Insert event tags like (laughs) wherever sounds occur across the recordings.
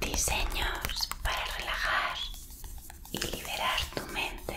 Diseños para relajar y liberar tu mente.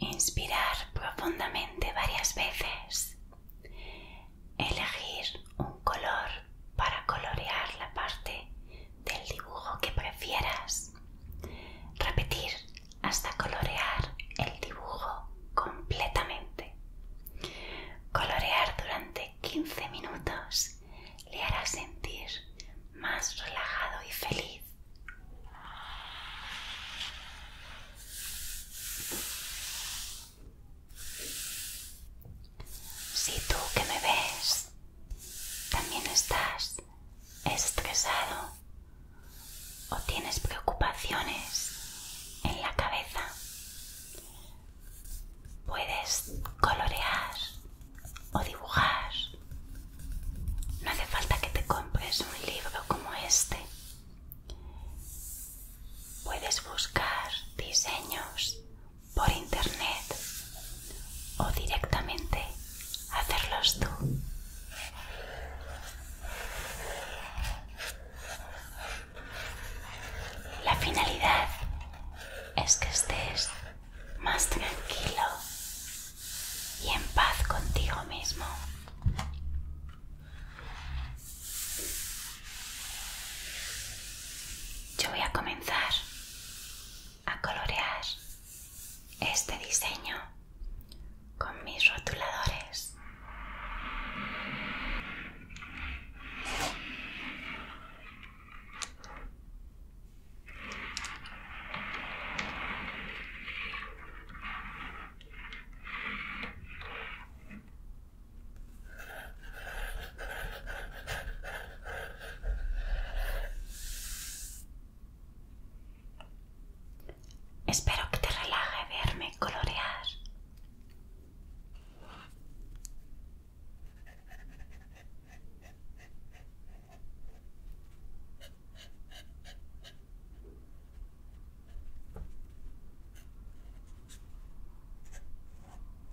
Inspirar profundamente varias veces. Elegir un color para colorear la parte del dibujo que prefieras. Repetir hasta colorear el dibujo completamente. Colorear durante 15 minutos le hará sentir más relajado y feliz. Si tú que me ves también estás estresado o tienes preocupaciones en la cabeza, puedes colorear o dibujar. No hace falta que te compres un libro como este. Puedes buscar diseños por internet o directamente hacerlos tú. La finalidad es que estés más tranquilo y en paz contigo mismo. Yo voy a comenzar a colorear este diseño con mis rotuladores. Espero que te relaje verme colorear.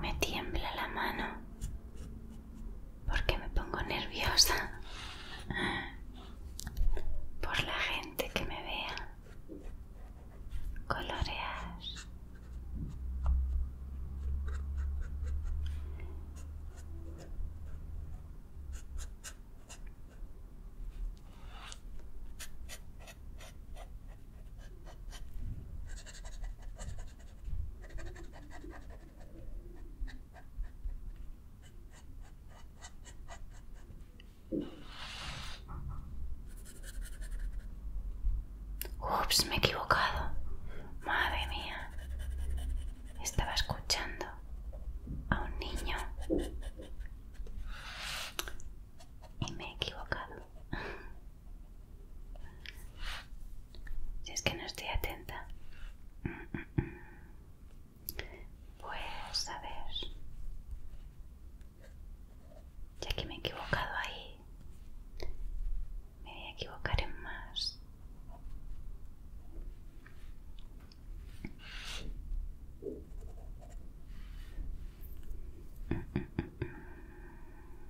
Me tiembla la mano porque me pongo nerviosa por la gente que me vea colorear. Ups, me he equivocado. Madre mía. Estaba escuchando a un niño. Y me he equivocado. Si es que no estoy atenta. Pues a ver. Ya que me he equivocado ahí, me voy a equivocar en más.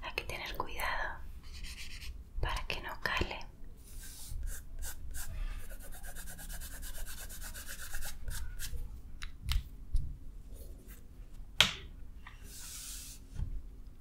hay que tener cuidado para que no cale.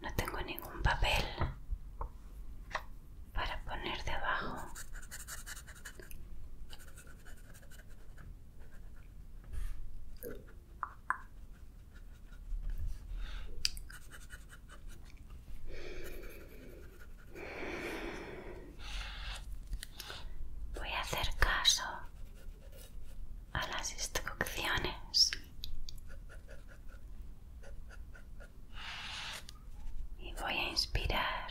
No tengo ningún papel para poner debajo. Voy a hacer caso a las instrucciones y voy a inspirar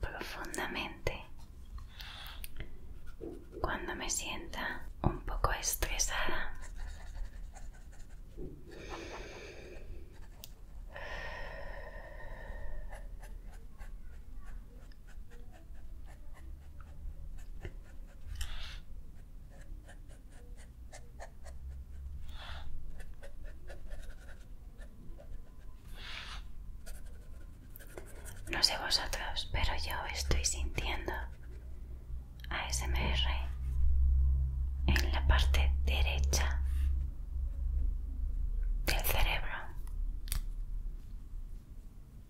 profundamente cuando me sienta un poco estresada. No sé vosotros, pero yo estoy sintiendo ASMR en la parte derecha del cerebro.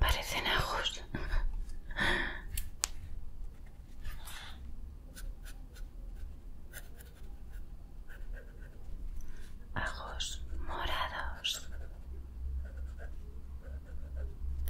Parecen ajos. Ajos morados.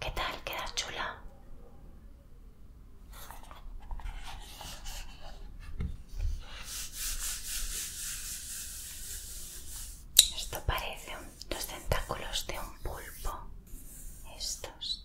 ¿Qué tal? ¿Queda chula? Esto parece un, los tentáculos de un pulpo. Estos.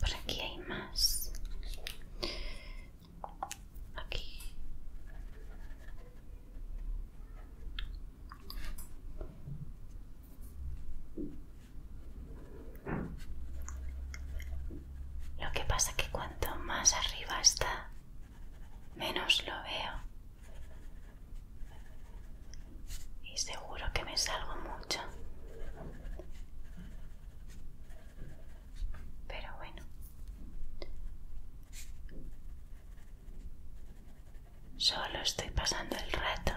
Por aquí hay más aquí lo que pasa que cuanto más arriba está menos lo veo y seguro que me salgo mucho pero bueno. Solo estoy pasando el rato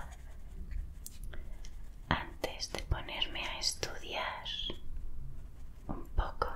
antes de ponerme a estudiar un poco.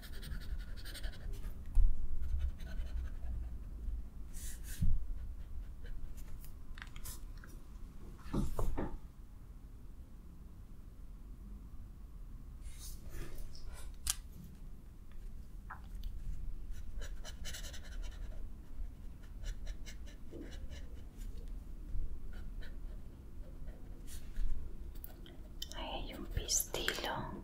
hay un pistilo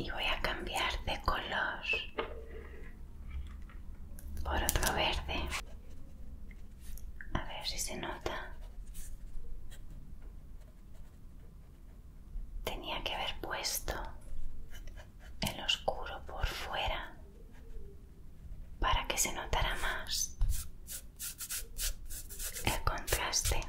Y voy a cambiar de color por otro verde. A ver si se nota. Tenía que haber puesto el oscuro por fuera para que se notara más el contraste.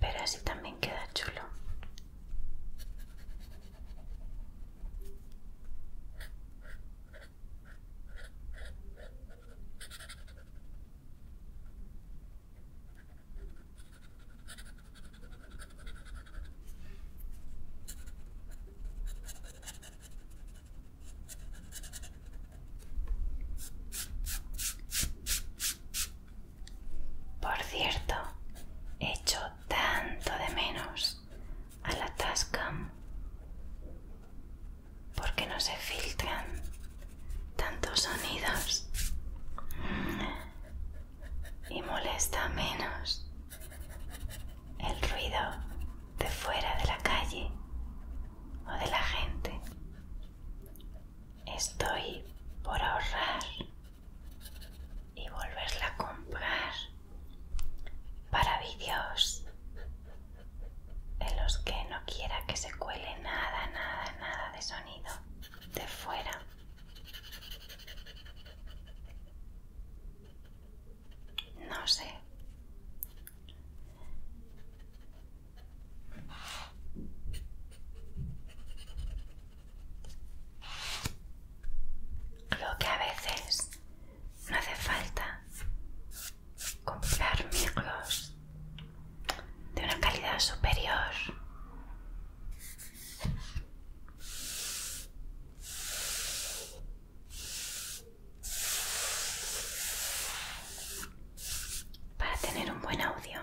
Pero así también queda chulo. Por cierto, echo tanto de menos a la Tascam porque no se filtran tantos sonidos y molesta menos el ruido de fuera de la calle o de la gente. Estoy por ahorrar y volverla a comprar para vídeos en los que no quiera que se cuele nada, nada, nada de sonido de fuera. No sé. Lo que a veces no hace falta comprar micros de una calidad superior. Para tener un buen audio.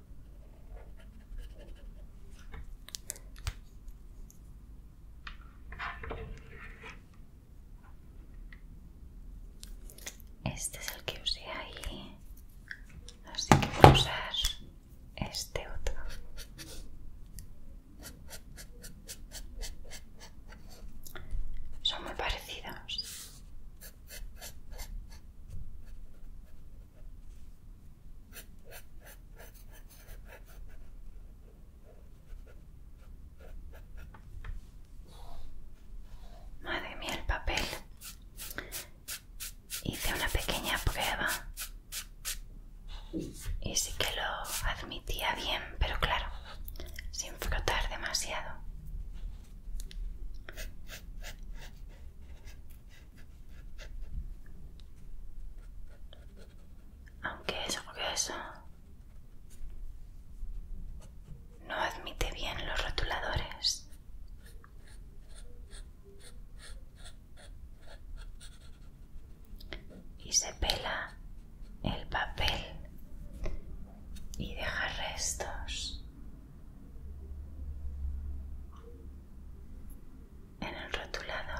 Este es el que usé ahí, así que a usar este otro. Son muy parecidos. Madre mía, el papel. Hice una pequeña prueba y sí que lo admitía bien, pero claro, sin frotar demasiado. Aunque que eso no admite bien los rotuladores. Y se pela el papel y deja restos en el rotulador.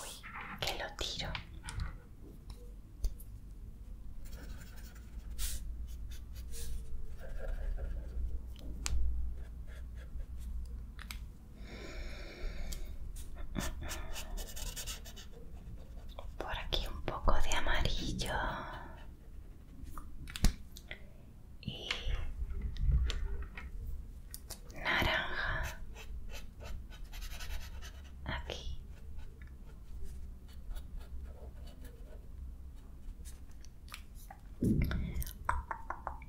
Uy, que lo tiro por aquí un poco de amarillo y naranja aquí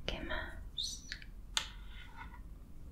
¿Qué más?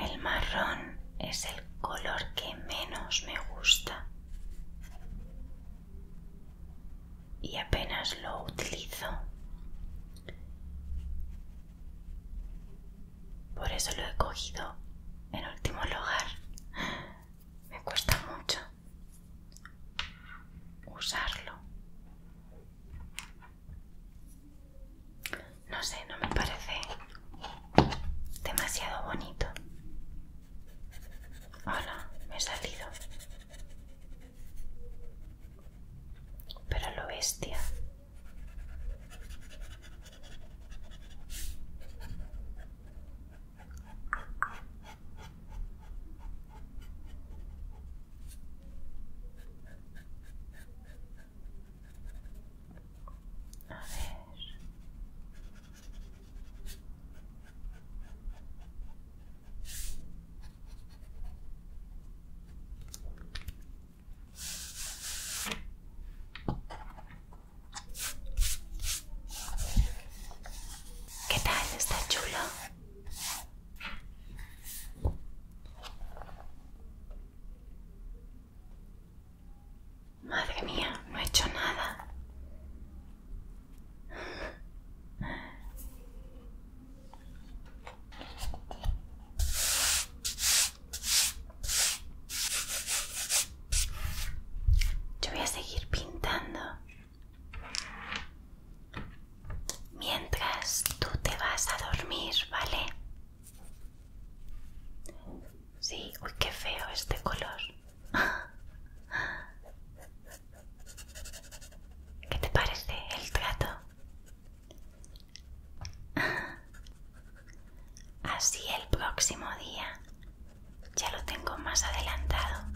El marrón es el color que menos me gusta y apenas lo utilizo. Por eso lo he cogido en último lugar. Me cuesta mucho usarlo. No sé, no me parece demasiado bonito. Hola, me he salido pero lo bestia. ¿Qué tal? ¿Está chulo? Madre mía, no he hecho nada. Yo voy a seguir pintando mientras tú te vas a dormir, ¿vale? Sí, uy, qué feo este color. (laughs) ¿Qué te parece el trato? Así el próximo día ya lo tengo más adelantado.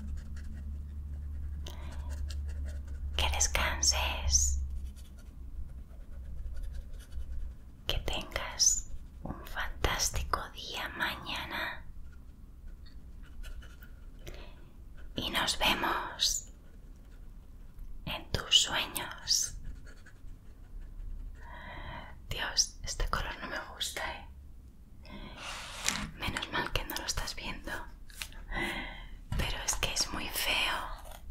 Que descanses. Que tengas un fantástico día mañana. Y nos vemos en tus sueños. Dios, este color no me gusta, ¿eh? Menos mal que no lo estás viendo. Pero es que es muy feo.